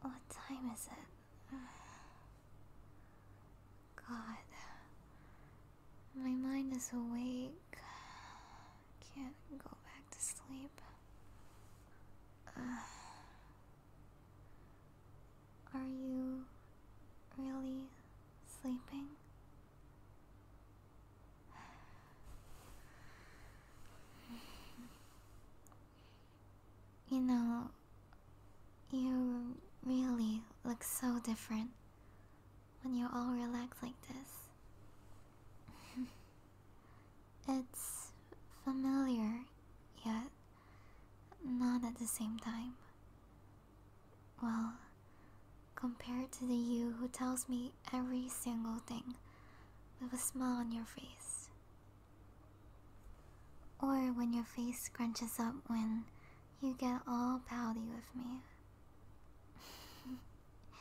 What time is it? God, my mind is awake. Can't go back to sleep. Are you really sleeping? You know, you really look so different when you're all relaxed like this. It's familiar, yet not at the same time. Well, compared to the you who tells me every single thing with a smile on your face. Or when your face scrunches up when you get all pouty with me.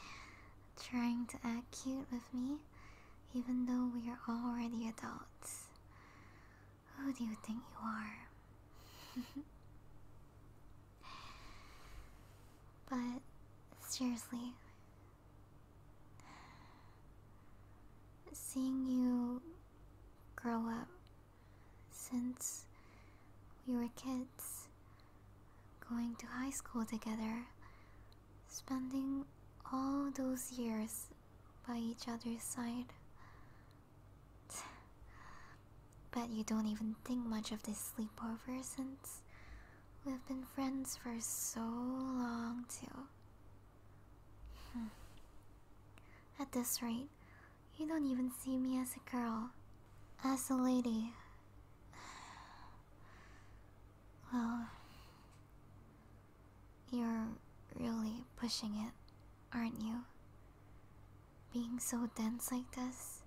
Trying to act cute with me even though we are already adults. Who do you think you are? but seriously, seeing you grow up since we were kids, going to high school together, spending all those years by each other's side. but you don't even think much of this sleepover since we've been friends for so long, too. Hmm. At this rate, you don't even see me as a girl, as a lady. Well, you're really pushing it, aren't you? Being so dense like this,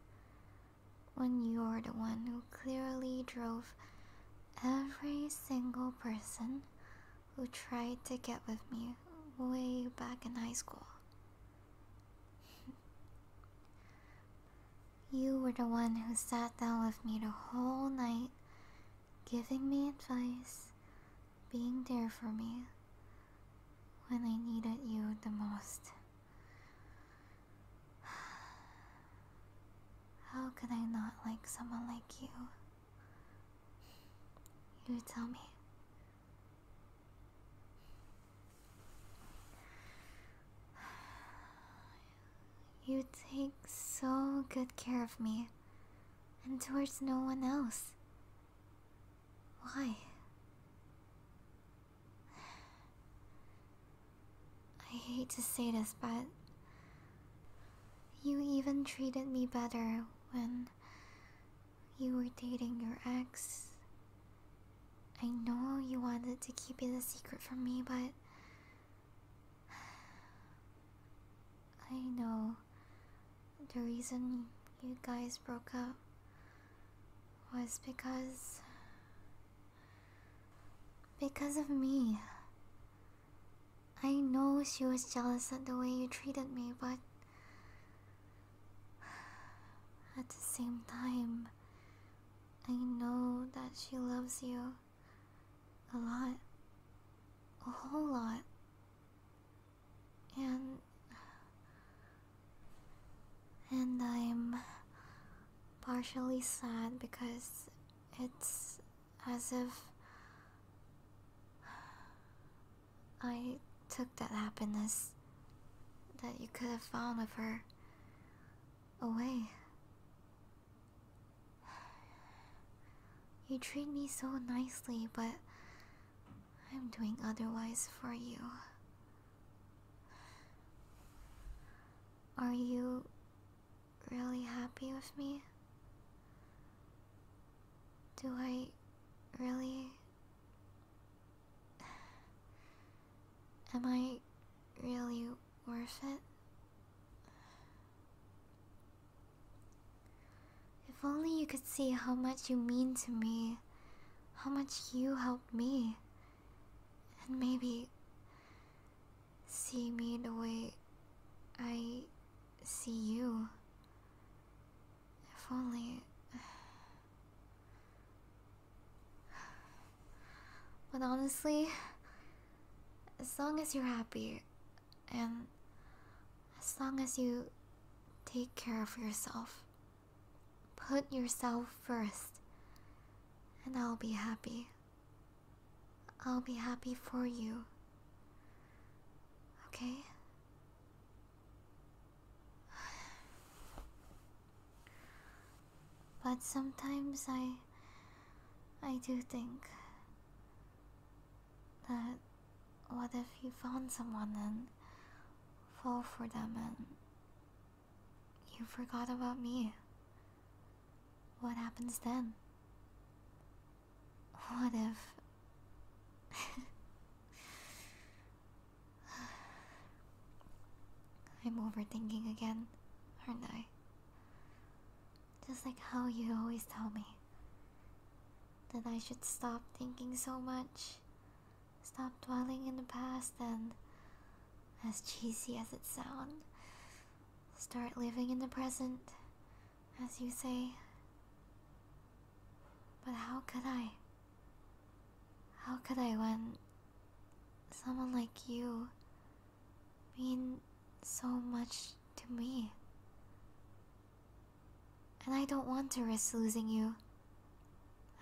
when you're the one who clearly drove every single person who tried to get with me way back in high school. You were the one who sat down with me the whole night, giving me advice, being there for me when I needed you the most. How could I not like someone like you? You tell me. You take so good care of me, and towards no one else. Why? I hate to say this, but you even treated me better when you were dating your ex. I know you wanted to keep it a secret from me, but I know the reason you guys broke up was because. because of me. I know she was jealous at the way you treated me, but. At the same time, I know that she loves you a lot. A whole lot. And. And I'm partially sad because it's as if I took that happiness that you could have found with her away. You treat me so nicely, but I'm doing otherwise for you. Are you really happy with me? Do I really Am I really worth it? If only you could see how much you mean to me, how much you helped me, and maybe see me the way I see you. If only. But honestly, as long as you're happy and as long as you take care of yourself, put yourself first, and I'll be happy. I'll be happy for you. Okay? But sometimes I I do think that what if you found someone and fall for them and you forgot about me? What happens then? What if I'm overthinking again, aren't I? Just like how you always tell me that I should stop thinking so much, stop dwelling in the past, and, as cheesy as it sounds, start living in the present, as you say. But how could I? How could I when someone like you mean so much to me. And I don't want to risk losing you.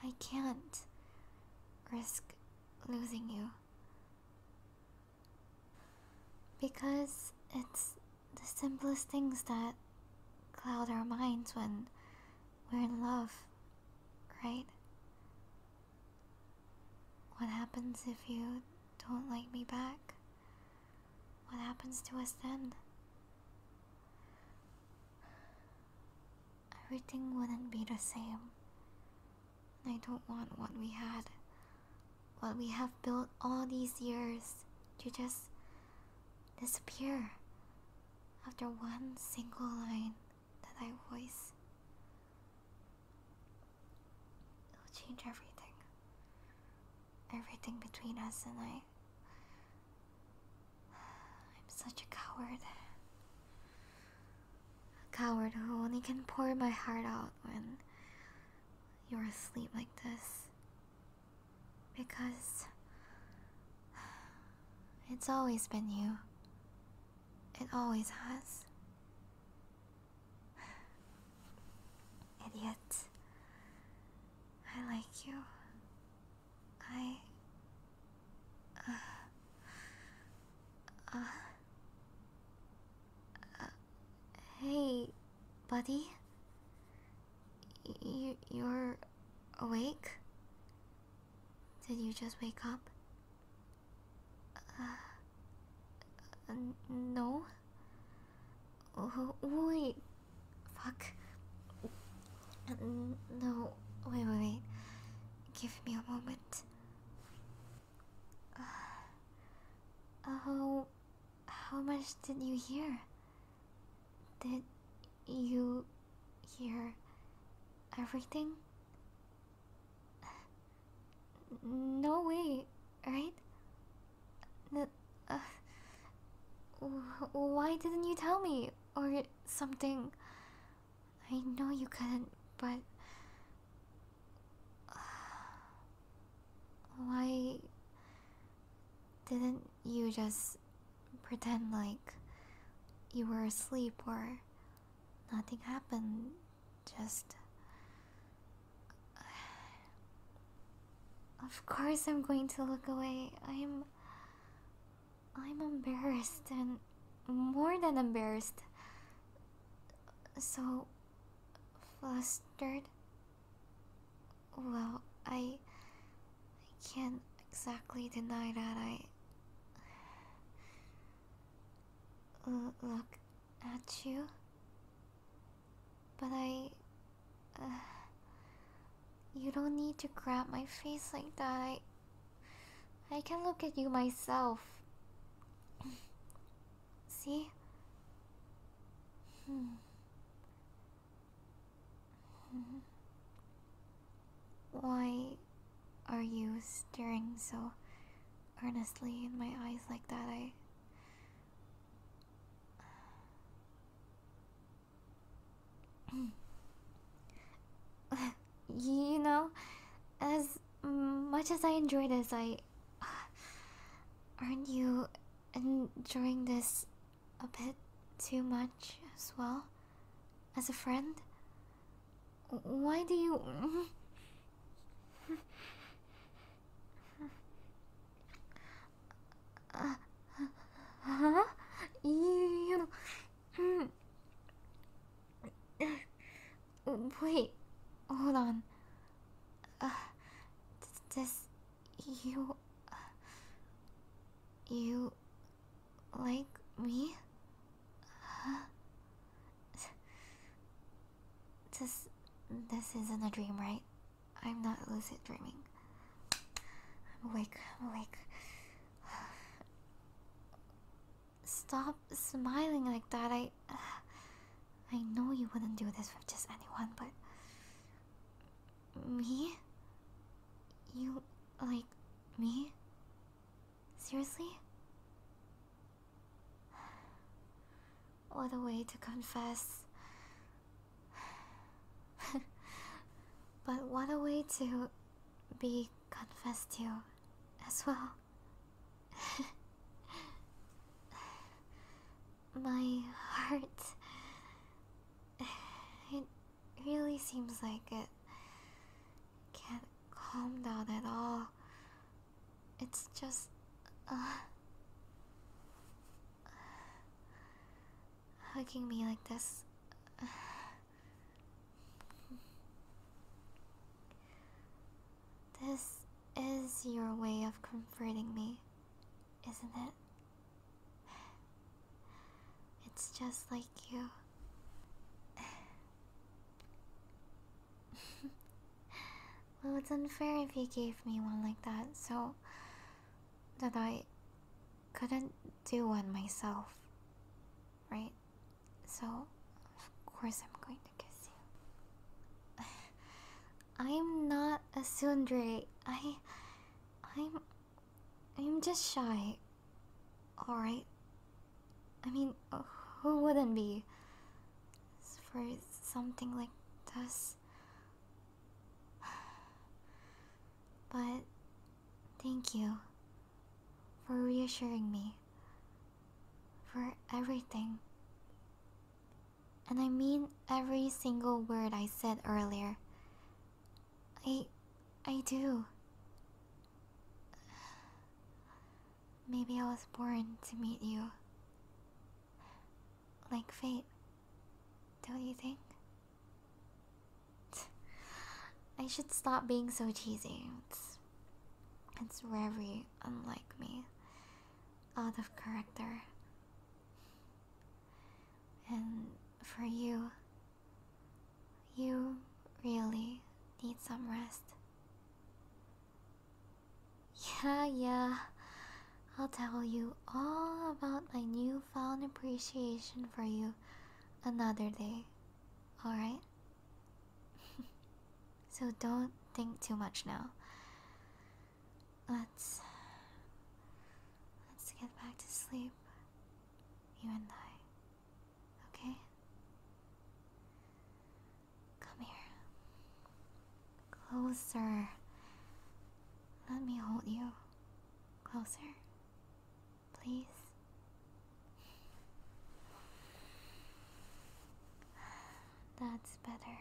I can't risk losing you. Because it's the simplest things that cloud our minds when we're in love, right? What happens if you don't like me back? What happens to us then? Everything wouldn't be the same. I don't want what we had, what we have built all these years to just disappear after one single line that I voice. It'll change everything. Everything between us and I. I'm such a coward. A coward who only can pour my heart out when you're asleep like this. Because it's always been you. It always has. Idiot. I like you. I. Uh, uh, hey, buddy. Y you're awake? Did you just wake up? Uh, no? wait. Fuck. no. Wait, wait, wait. Give me a moment. Uh, oh, how much did you hear? Did you here, everything? No way, right? Uh, why didn't you tell me? Or something? I know you couldn't, but. Why didn't you just pretend like you were asleep or nothing happened, just. Of course, I'm going to look away. I'm. I'm embarrassed and more than embarrassed. So flustered. Well, I I can't exactly deny that I uh, look at you. But I. Uh, you don't need to grab my face like that. I. I can look at you myself. See? Hmm. Why are you staring so earnestly in my eyes like that? I. you know, as much as I enjoy this, I. aren't you enjoying this a bit too much as well? As a friend? Why do you. uh, huh? You. you Wait, hold on. Uh, you. Uh, you like me? Huh? This this isn't a dream, right? I'm not lucid dreaming. I'm awake. I'm awake. Stop smiling like that. I I know you wouldn't do this with just anyone, but me? You like me? Seriously? What a way to confess. but what a way to be confessed to as well. My heart. It really seems like it can't calm down at all. It's just. Uh, hugging me like this. This is your way of comforting me, isn't it? It's just like you. well, it's unfair if you gave me one like that, so that I couldn't do one myself, right? So, of course, I'm going to kiss you. I'm not a sundray. I. I'm I'm just shy. Alright? I mean, who wouldn't be? For something like this. But thank you for reassuring me. For everything. And I mean every single word I said earlier. I. I do. Maybe I was born to meet you. Like fate, don't you think? I should stop being so cheesy. It's, it's very unlike me. Out of character. And for you, you really need some rest. Yeah, yeah. I'll tell you all about my newfound appreciation for you another day, alright? so don't think too much now. Let's let's get back to sleep, you and I. Okay? Come here. Closer. Let me hold you. Closer. Please. That's better.